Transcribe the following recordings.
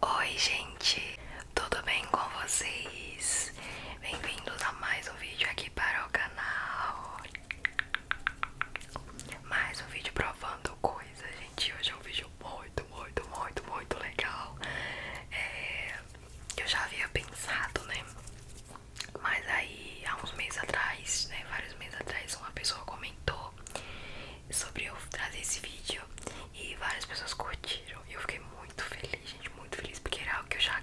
Oi, gente, tudo bem com vocês? Bem-vindos a mais um vídeo aqui para o canal. Mais um vídeo provando coisa, gente. Hoje é um vídeo muito, muito, muito, muito legal. É, eu já havia pensado, né? Mas aí, há uns meses atrás, né, vários meses atrás, uma pessoa comentou sobre eu trazer esse vídeo e várias pessoas curtiram. E eu fiquei muito feliz, gente, muito feliz, porque era algo que eu já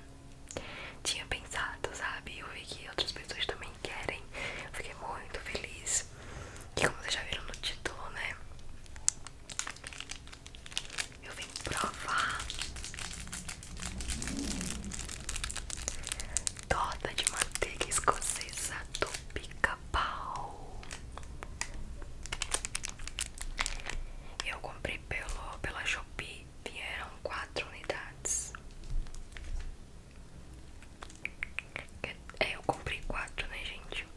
tinha pensado, sabe? Eu vi que outras pessoas também querem. fiquei muito feliz. E como vocês já viram no título, né? Eu vim provar torta de manteiga escocesa do pica-pau. Eu comprei pelo, pela Shopee, vieram quatro unidades. É, eu comprei quatro, né, gente?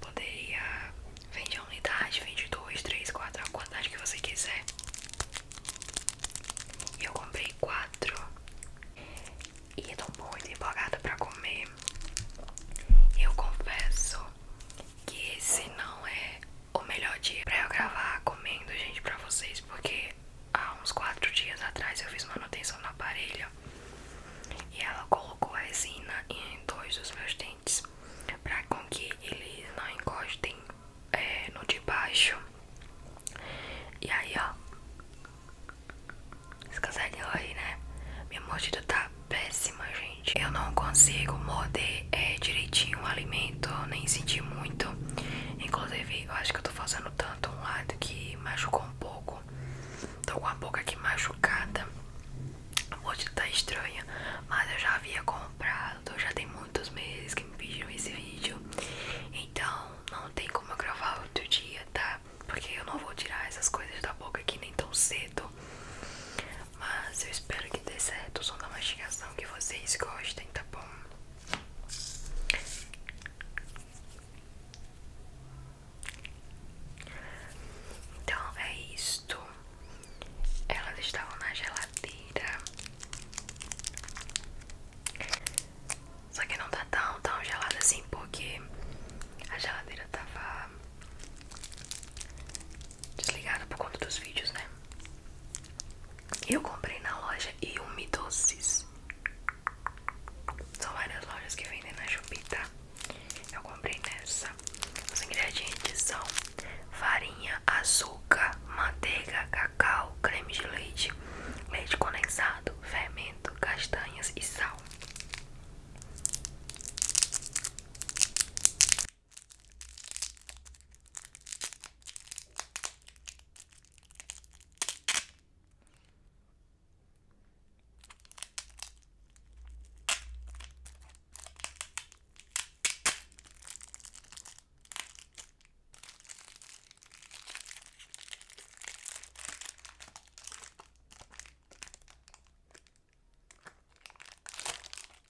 Poderia vender uma unidade, vende dois, três, quatro, a quantidade que você quiser. E eu comprei quatro. E eu tô muito empolgada pra comer. Eu confesso que esse não é o melhor dia pra eu gravar comendo, gente, pra vocês, porque há uns quatro dias atrás eu fiz manutenção na parelha e ela colocou a resina em dois dos meus dentes para com que eles não encostem é, no de baixo. E aí, ó. Vocês conseguem ouvir, né? Minha mordida tá péssima, gente. Eu não consigo morder é, direitinho o alimento, nem sentir muito. Inclusive, eu acho que eu tô fazendo tanto um lado que machucou um pouco. Tô com a boca aqui machucada. Hoje tá estranha, mas eu já havia comprado, já tem muitos meses que me pediram esse vídeo. Então não tem como gravar outro dia, tá? Porque eu não vou tirar essas coisas da boca aqui nem tão cedo. Mas eu espero que dê certo o som da mastigação que vocês gostem, tá bom? Então é isto. Elas estavam na geladeira. Só que não tá tão, tão gelada assim, porque a geladeira tava desligada por conta dos vídeos, né? Eu comprei na loja Iumi Doces. São várias lojas que vendem na Jupita. Eu comprei nessa. Os ingredientes são farinha, açúcar, manteiga, cacau, creme de leite, leite condensado, fermento, castanhas e sal.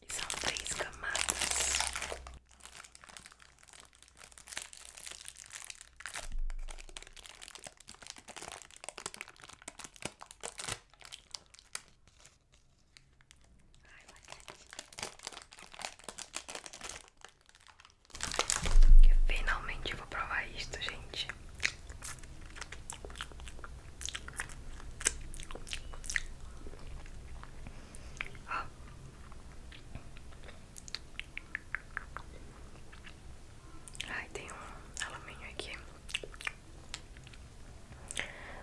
E são três camadas finalmente vou provar isto, gente. Ó. Ai, tem um alumínio aqui.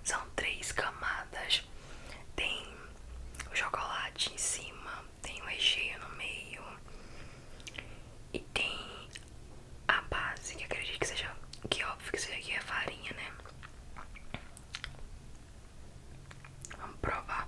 São três camadas. Tem o chocolate em cima, tem o recheio no meio e tem a base, que acredito que seja, que óbvio que seja aqui é farinha, né? Vamos provar.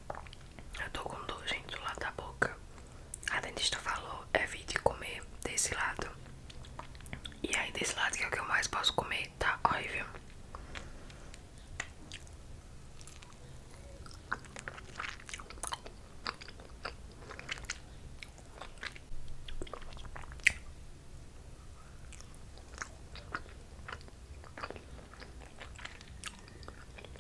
Eu tô com dor, gente, do lado da boca. A dentista falou: evite comer desse lado. E aí, desse lado que é o que eu mais posso comer, tá horrível.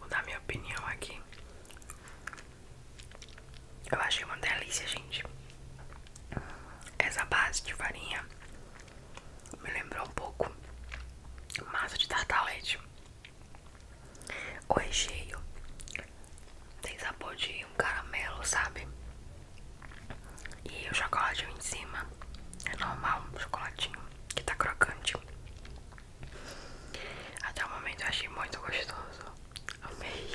Vou dar minha opinião aqui. Eu achei uma delícia, gente. Essa base de farinha me lembrou um pouco massa de tartalete. O recheio tem sabor de um caramelo, sabe? E o chocolatinho em cima é normal, um chocolatinho que tá crocante. Até o momento eu achei muito gostoso. Amei.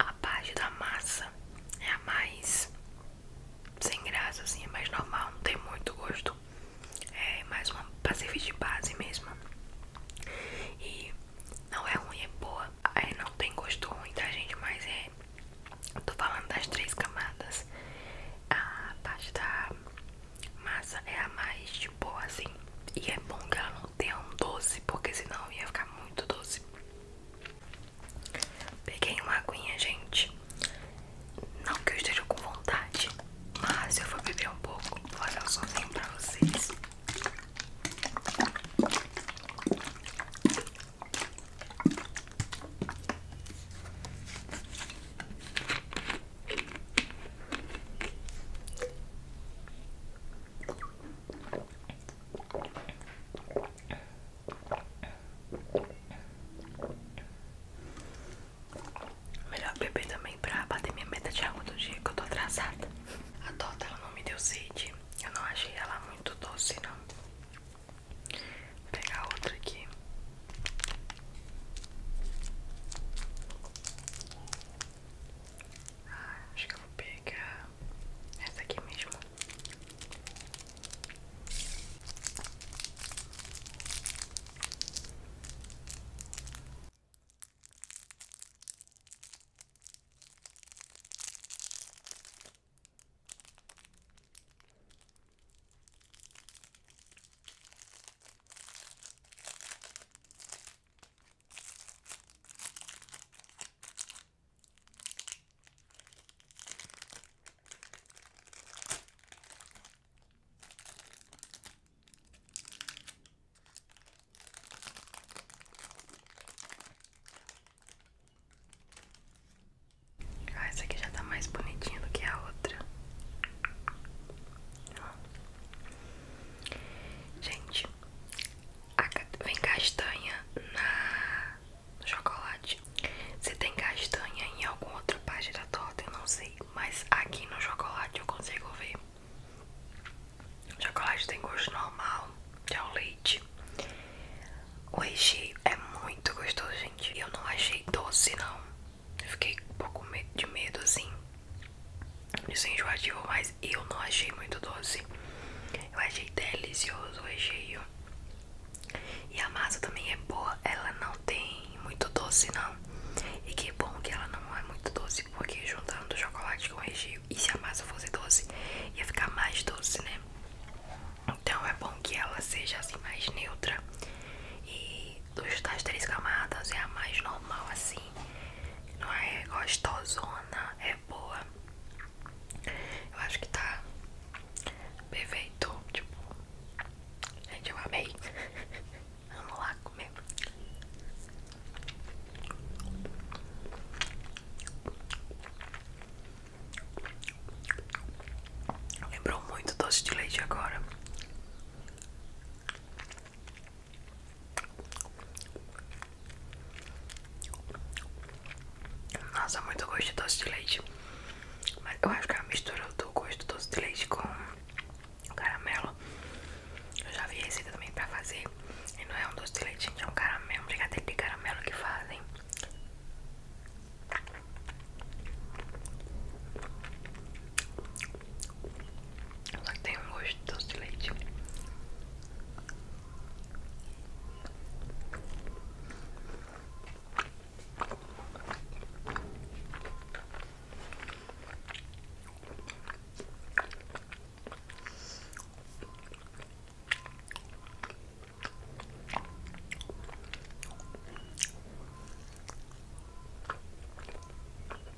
A parte da massa é a mais sem graça, assim, é mais normal, não tem muito gosto. É mais uma pra de base mesmo. E não é ruim, é boa. É, não tem gosto ruim, tá, gente? Mas é. tô falando das três camadas. A parte da massa é a mais de boa, assim. E é bom que ela ter um doce, porque senão ia ficar muito doce. Peguei uma aguinha, gente. Não que eu esteja com vontade, mas eu vou beber um pouco. Vou fazer um sozinho pra vocês. Melhor beber também pra bater minha meta de água do dia que eu tô atrasada. A dota ela não me deu sede. Eu não achei ela muito doce, não. Vou pegar outra aqui acho que eu vou pegar essa aqui mesmo. Ah, essa aqui já está mais bonitinha do que a outra. Gente, vem castanha na, no chocolate. Se tem castanha em alguma outra parte da torta, eu não sei. Mas aqui no chocolate eu consigo ver. O chocolate tem gosto normal, de ao é leite. O recheio é muito gostoso, gente. Eu não achei doce, não. fiquei um pouco de medo, assim. Isso é enjoativo, mas eu não achei muito doce. Eu achei delicioso o recheio. E a massa também é boa, ela não tem muito doce não. E que bom que ela não é muito doce, porque juntando o chocolate com o recheio, e se a massa fosse doce, ia ficar mais doce, né? Então é bom que ela seja assim mais neutra e dos, das três camadas é a mais normal assim. Não é gostosona, é boa. Eu acho que tá perfeito. Tipo, gente, eu amei. Vamos lá comer. Lembrou muito doce de leite agora. Nossa, muito gosto de doce de leite. Mas eu acho que é a mistura do gosto do doce de leite com caramelo. Eu já vi receita também pra fazer. E não é um doce de leite, gente, é um caramelo, um brigadeiro de caramelo que fazem. Só que tem um gosto de doce de leite.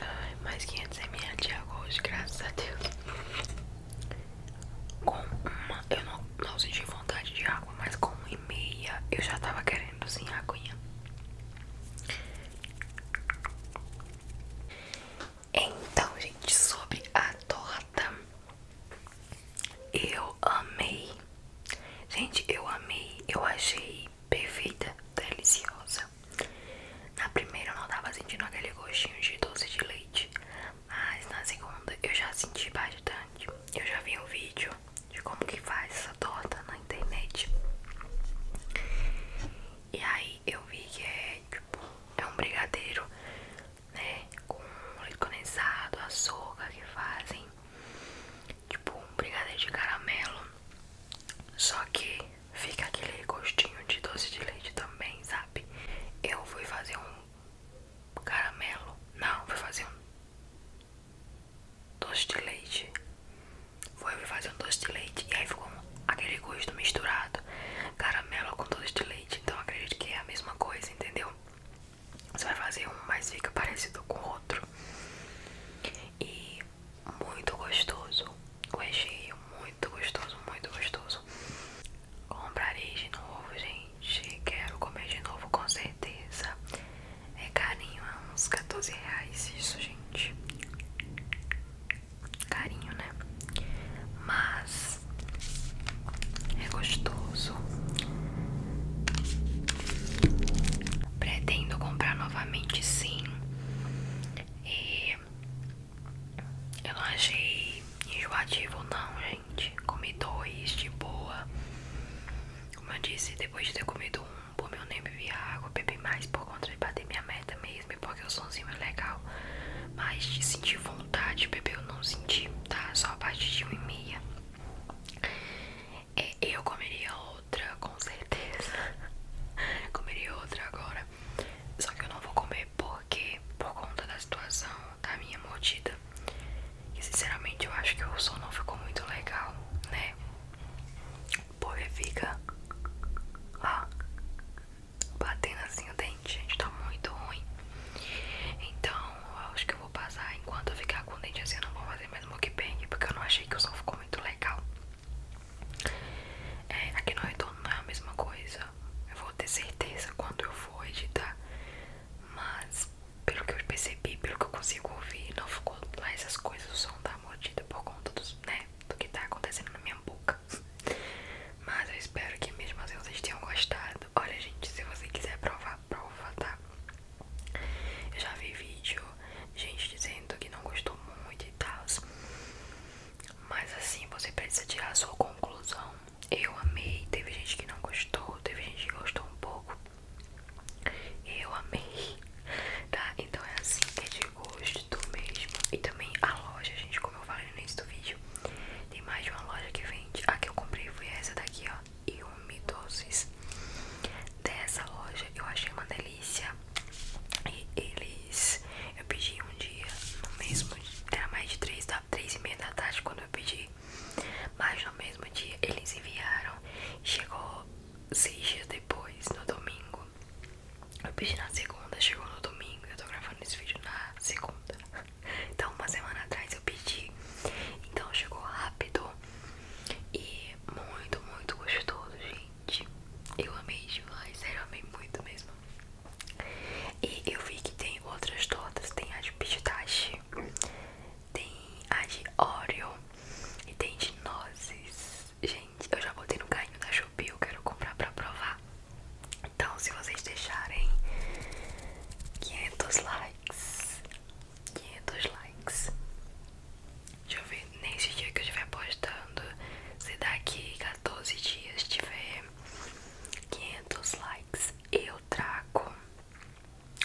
Ai, mais 500ml de água hoje, graças a Deus. Com uma, eu não, não senti vontade de água, mas com uma e meia eu já tava querendo sem assim, aguinha. Então, gente, sobre a torta. Eu amei. Gente, eu amei. Eu achei perfeita, deliciosa. Na primeira eu não tava sentindo aquele gostinho de doce de leite. Mas na segunda eu já senti bastante. Eu já vi um vídeo de como que faz essa torta na internet. E aí eu vi que é tipo, é um brigadeiro né? Com leite condensado, açúcar que fazem tipo um brigadeiro de caramelo. Só que fica aquele gostinho de doce de leite também, sabe? Eu fui fazer um caramelo. Não, fui fazer um doce de leite. Foi fazer um doce de leite e aí ficou aquele gosto misturado. Caramelo com doce de leite. Então acredito que é a mesma coisa, entendeu? Você vai fazer um, mas fica parecido com o outro. E muito gostoso. O recheio, muito gostoso, muito gostoso. Comprarei de novo, gente. Quero comer de novo, com certeza. É carinho, é uns 14 reais isso, gente. Carinho, né? Mas é gostoso. Pretendo comprar novamente, sim. E eu não achei enjoativo, não, gente. Comi dois de boa. Como eu disse, depois de ter comido um, como eu nem beber água, bebi mais por conta de bater minha meta mesmo. porque o sonzinho é legal. Mas de sentir vontade, bebê, eu não senti, tá? Só a partir de 1 e meia. É, eu comeria outra, com certeza. comeria outra agora. Só que eu não vou comer porque, por conta da situação da minha mordida. E sinceramente eu acho que o som não ficou muito legal, né? Porque fica. Ó batendo assim o dente, gente, tá muito ruim. Então, eu acho que eu vou passar enquanto eu ficar com o dente assim, eu não vou fazer mais mukbang, porque eu não achei que o som ficou muito legal. É, aqui no retorno não é a mesma coisa. Eu vou ter certeza quando eu for editar. Mas, pelo que eu percebi, pelo que eu consigo ouvir, não ficou lá essas coisas, o som da tá mordida por conta né, do que tá acontecendo na minha boca. Mas eu espero que mesmo assim vocês tenham gostado. Olha, gente, se você quiser provar, prova, tá? Eu já vi vídeo, gente dizendo que não gostou muito e tal. Mas assim, você precisa tirar a sua conclusão. Eu amei, teve gente que não gostou, teve gente que gostou um pouco. Eu amei, tá? Então é assim, que é de gosto mesmo. E também a loja, gente, como eu falei no início do vídeo, tem mais de uma loja que vende. A que eu comprei foi essa daqui, ó. E umidoses dessa loja. Eu achei uma delícia. E eles. Eu pedi um dia, no mesmo Era mais de 3, da, 3 e meia da tarde quando eu pedi. Mas no mesmo dia eles enviaram. Chegou seis dias depois, no domingo. Eu pedi na segunda, chegou no domingo. Eu tô gravando esse vídeo na segunda. Então, uma semana atrás eu pedi. Então, chegou rápido e muito, muito gostoso, gente. Eu amei demais, sério, eu amei muito mesmo. E eu vi que tem outras tortas: tem a de pistache, tem a de Oreo e tem de nozes. Gente, eu já botei no carrinho da Shopee, eu quero comprar pra provar. Então, se vocês deixarem 500 likes, 500 likes. Deixa eu ver, nesse dia que eu estiver postando, se daqui 14 dias tiver 500 likes, eu trago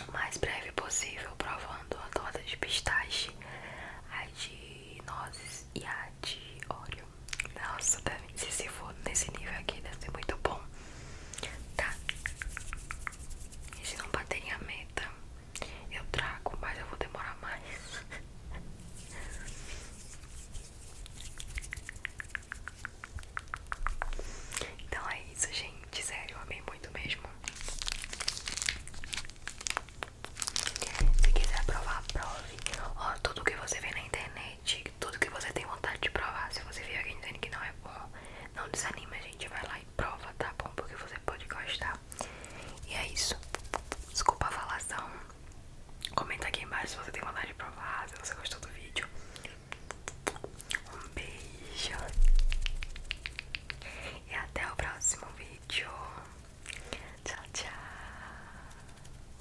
o mais breve possível provando a torta de pistache, a de nozes e a de óleo. Nossa, deve, se, for nesse nível aqui, deve ser muito bom. Tá? E se não baterem a meta, eu trago, mas eu vou demorar mais. Então é isso, gente. Sério, amei muito mesmo. Se quiser provar, prove. Ó, tudo que você vê na internet tudo que você tem vontade de provar. Se você vier alguém dizendo que não é bom, não desanime a gente. Vai lá e prova, tá bom? Porque você pode gostar. E é isso. Desculpa a falação. Comenta aqui embaixo se você tem vontade de provar, se você gostou do vídeo. Um beijo. E até o próximo vídeo. Tchau, tchau.